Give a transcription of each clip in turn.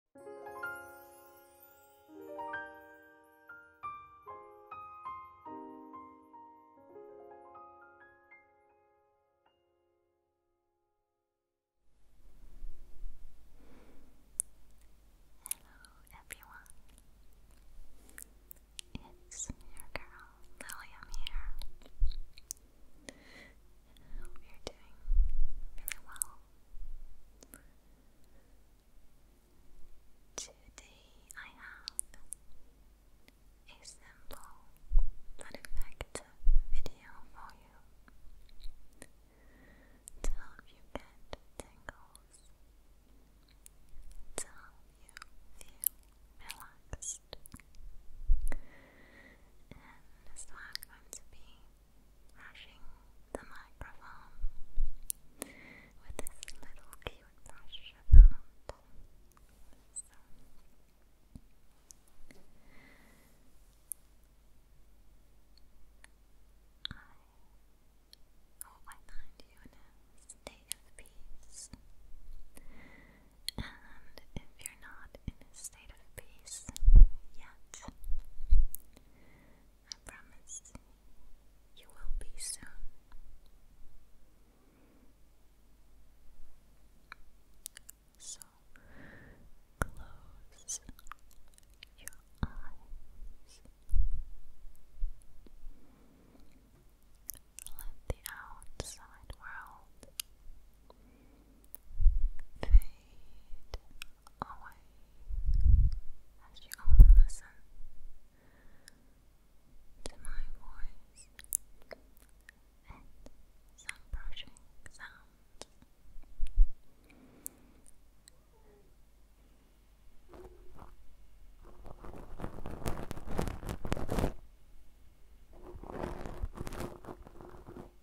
Hello everyone. It's your girl Lillian here. hope you're doing really well. Today I have a simple but effective video for you to help you get tingles, to help you feel relaxed. And so i going to be brushing the microphone with this little cute brush around. So. I hope I find you in a state of peace. And if you're not in a state of peace yet, I promise you will be soon. So close your eyes. Let the outside world fade away as you only listen to my voice and some brushing sounds. Thank you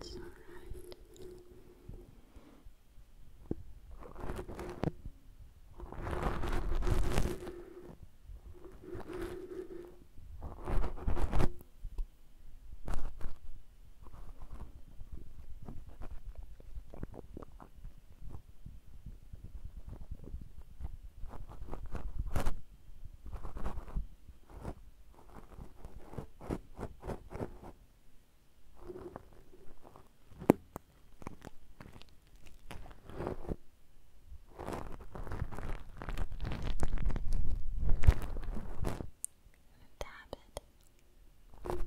It's alright. Dab it. Dab.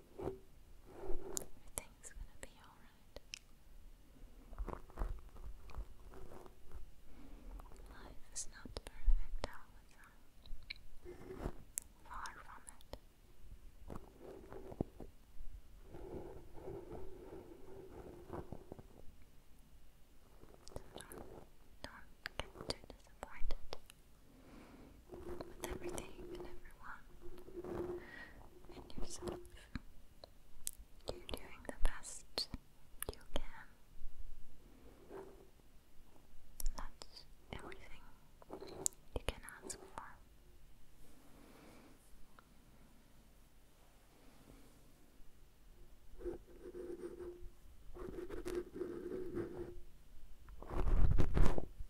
Everything's gonna be alright. Life is not perfect all Far from it. don't get too disappointed with everything and everyone and yourself. You're doing the best you can. That's everything you can ask for.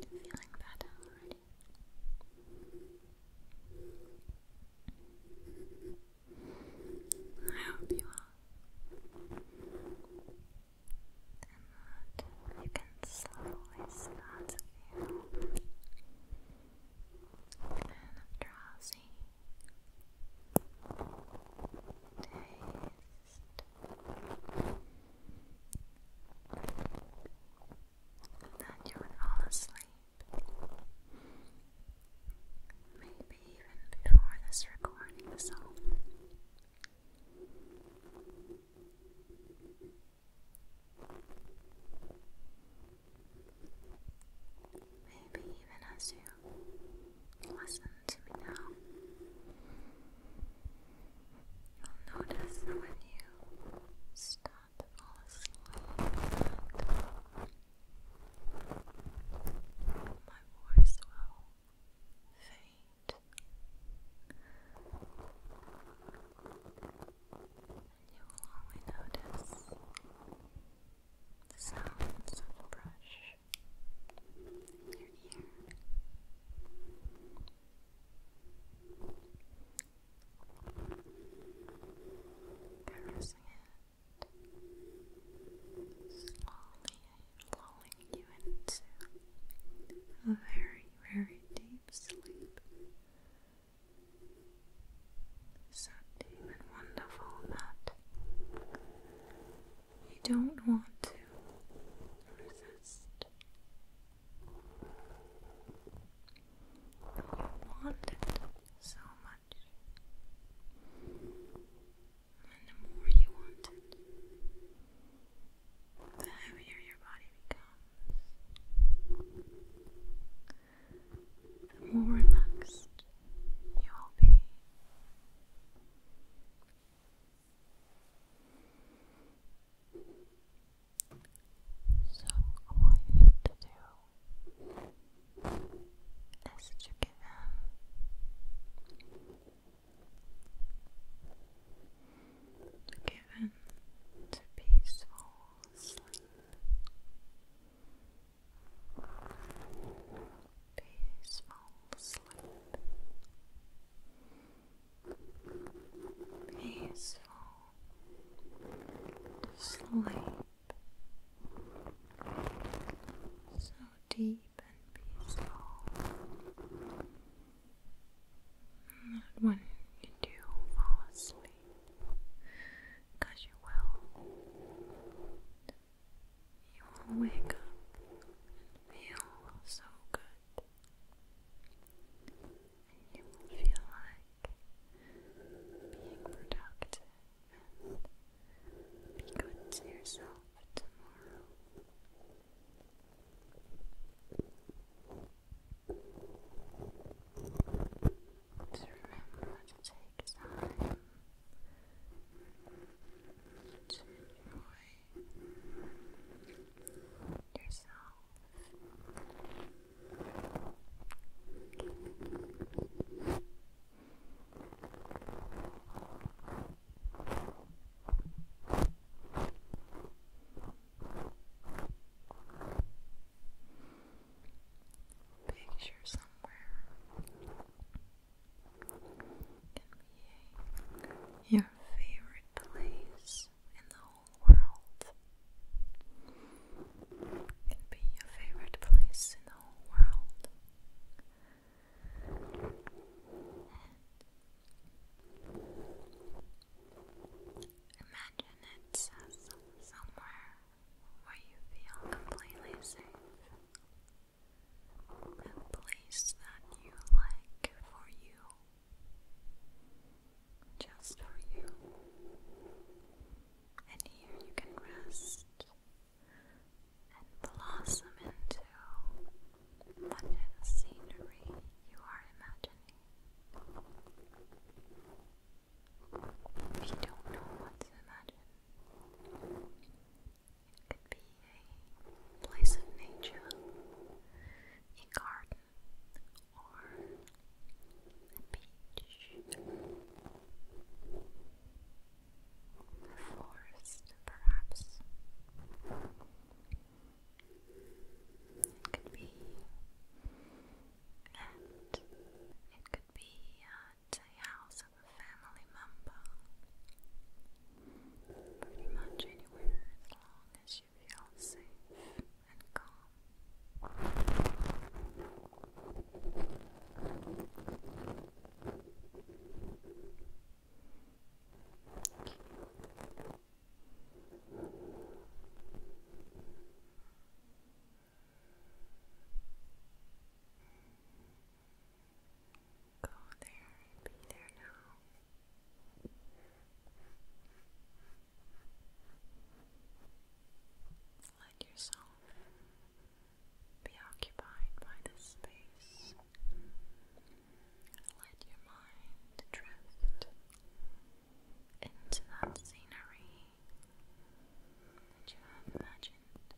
Feeling better, right? mind. I hope you are. And that you can slowly start to feel kind of Taste that you were all asleep. Maybe even before this recording is Maybe even as you listen to me now, you'll notice when you stop to fall asleep. fade, and you will only notice the sounds of brush in your ear caressing it, slowly lulling you into a very, very deep sleep. So deep and wonderful that you don't want to resist. You want it so much. And the more you want it, the heavier your body becomes. The more relaxed you will be. So, all you to do is to give in, to peaceful sleep, peaceful peaceful sleep so deep and peaceful not when you do fall asleep you will you will wake up and feel so good you will feel like being productive, be good to yourself tomorrow. To remember to take time to enjoy yourself. Picture somewhere can your favorite place in the whole whole world. It can be your favorite place in the world. imagine it's uh, somewhere where you feel completely safe. A place that you like for you just for you. And here you can rest and blossom into whatever scenery you are imagining. If don't know what to imagine, it could be a place of nature, a garden, or the beach, the forest, perhaps. It could be and it could be uh, a house of a family member. Pretty much anywhere as long as you feel safe and calm. Go there and be there now. Let yourself be occupied by this space. Let your mind drift into that scenery that you have imagined.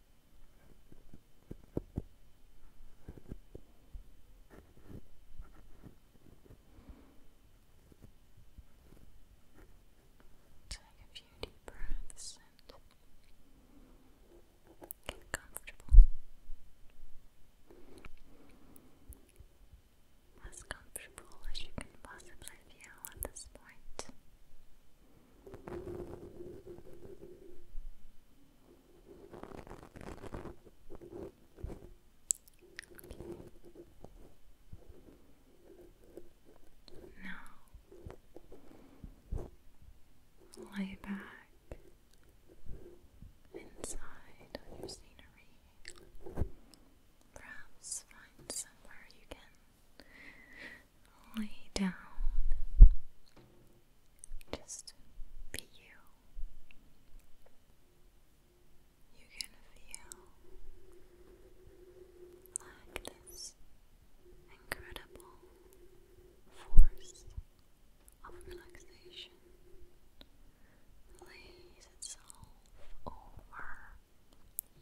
Take a few deep breaths and get comfortable. As comfortable as you can possibly feel at this point. Now lay back inside your scenery. Perhaps find somewhere you can lay down. Just be you you can feel like this incredible force of relaxation lays itself over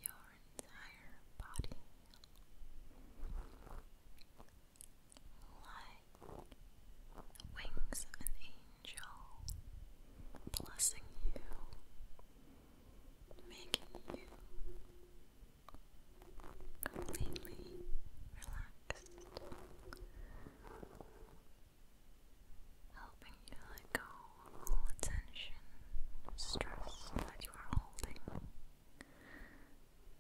your entire body like the wings of an angel blessing you making you completely relaxed, helping you let go of all tension, stress that you are holding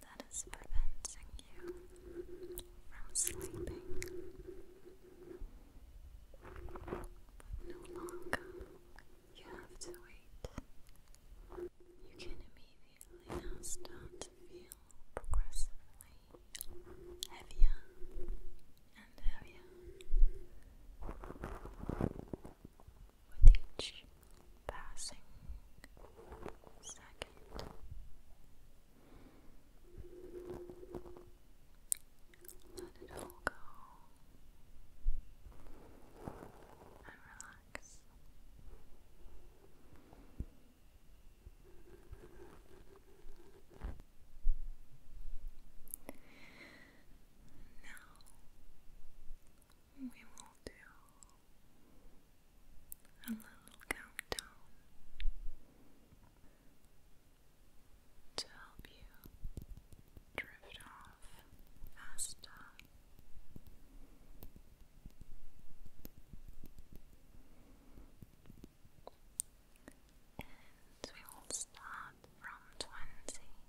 that is preventing you from sleeping. no longer you have to wait. You can immediately now start to feel progressively heavier and heavier with each passing second. Let it all go and relax. Now we will do a little countdown to help you drift off faster. And we will start from twenty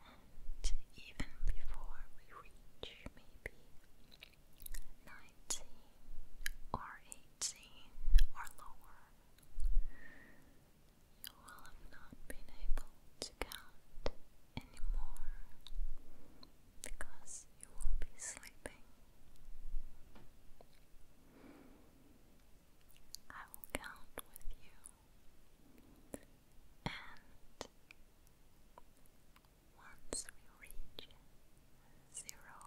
and even before we reach maybe nineteen or eighteen or lower, you will have not been able to count anymore because you will be sleeping. I will count with you and once we reach zero,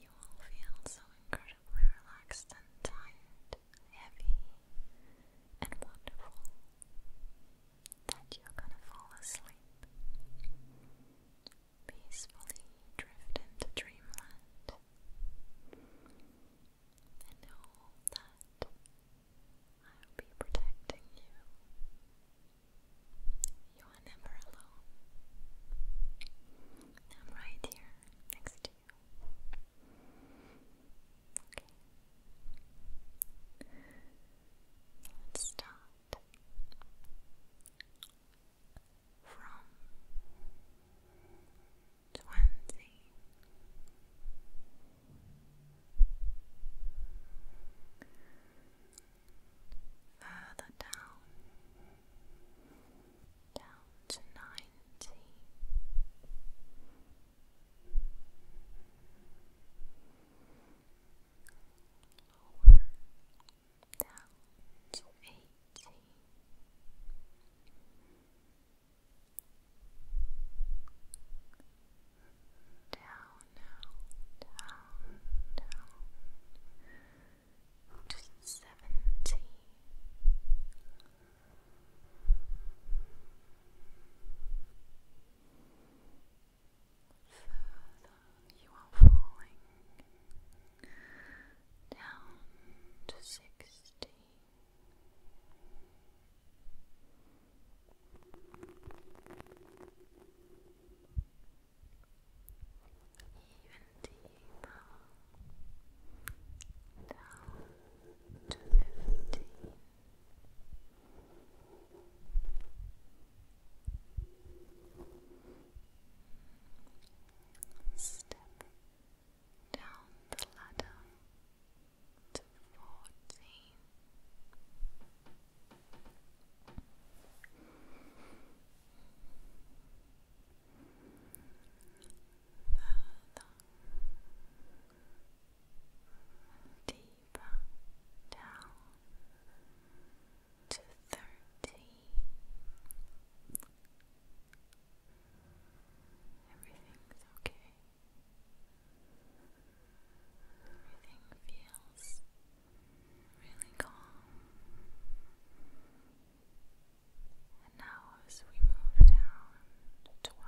you will feel so incredibly relaxed and tired, heavy, and wonderful that you're gonna fall asleep. Peacefully drift into dreamland and know that I'll be protecting you you are never alone. I'm right here next to you. Okay. let's start from twenty further down, down to ninety. Lower down to eighty. Down now, down, down, to seventy. Further, you are falling down to sixty even deeper down to fifteen. Step down the ladder to fourteen deeper down to thirteen. Everything's okay. Everything feels really calm. And now, as we move down to 12,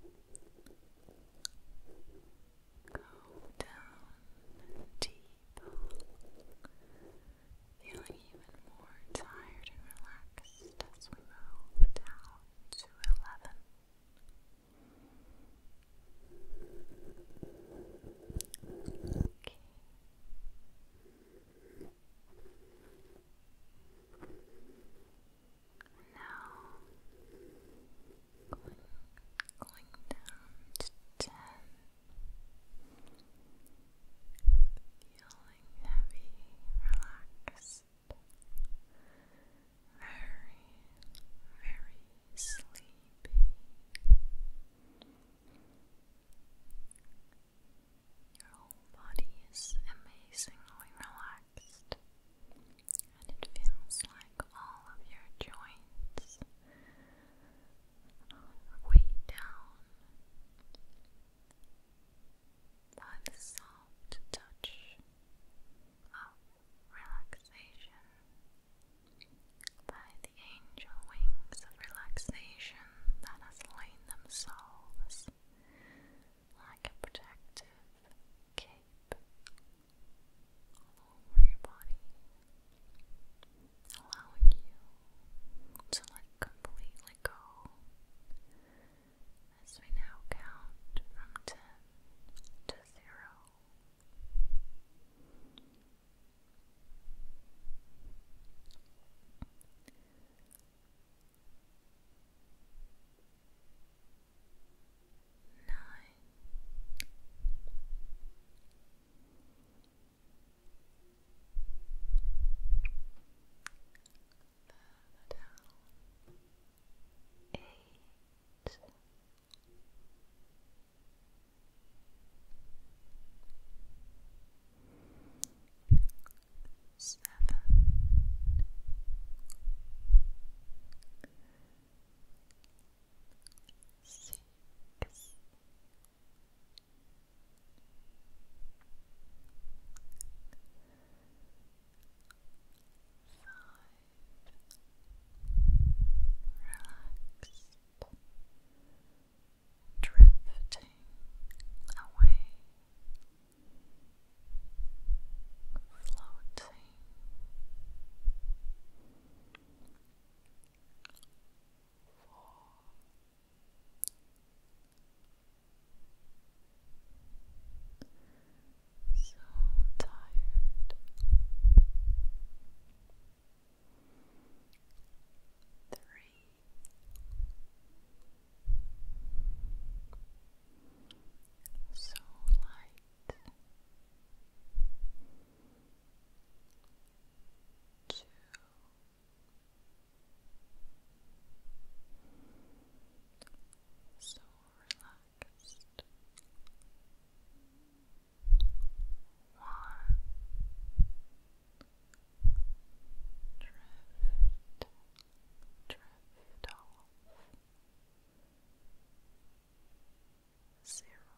go down deep, feeling even more tired and relaxed first as we down to 11. Okay. Now going, down to ten. Feeling heavy, relaxed very, very sleepy. Your whole body is amazingly relaxed, and it feels like all of your joints are down by the soft touch of relaxation, by the angel wings of relaxation that has lain themselves like a protective cape over your body, allowing you to let completely go as we now count from ten to zero further down. Eight. Seven. Six. Five relaxed, drifting away, floating. Four, so tired. Three. So light. Two so relaxed. One drift, drift off. Zero.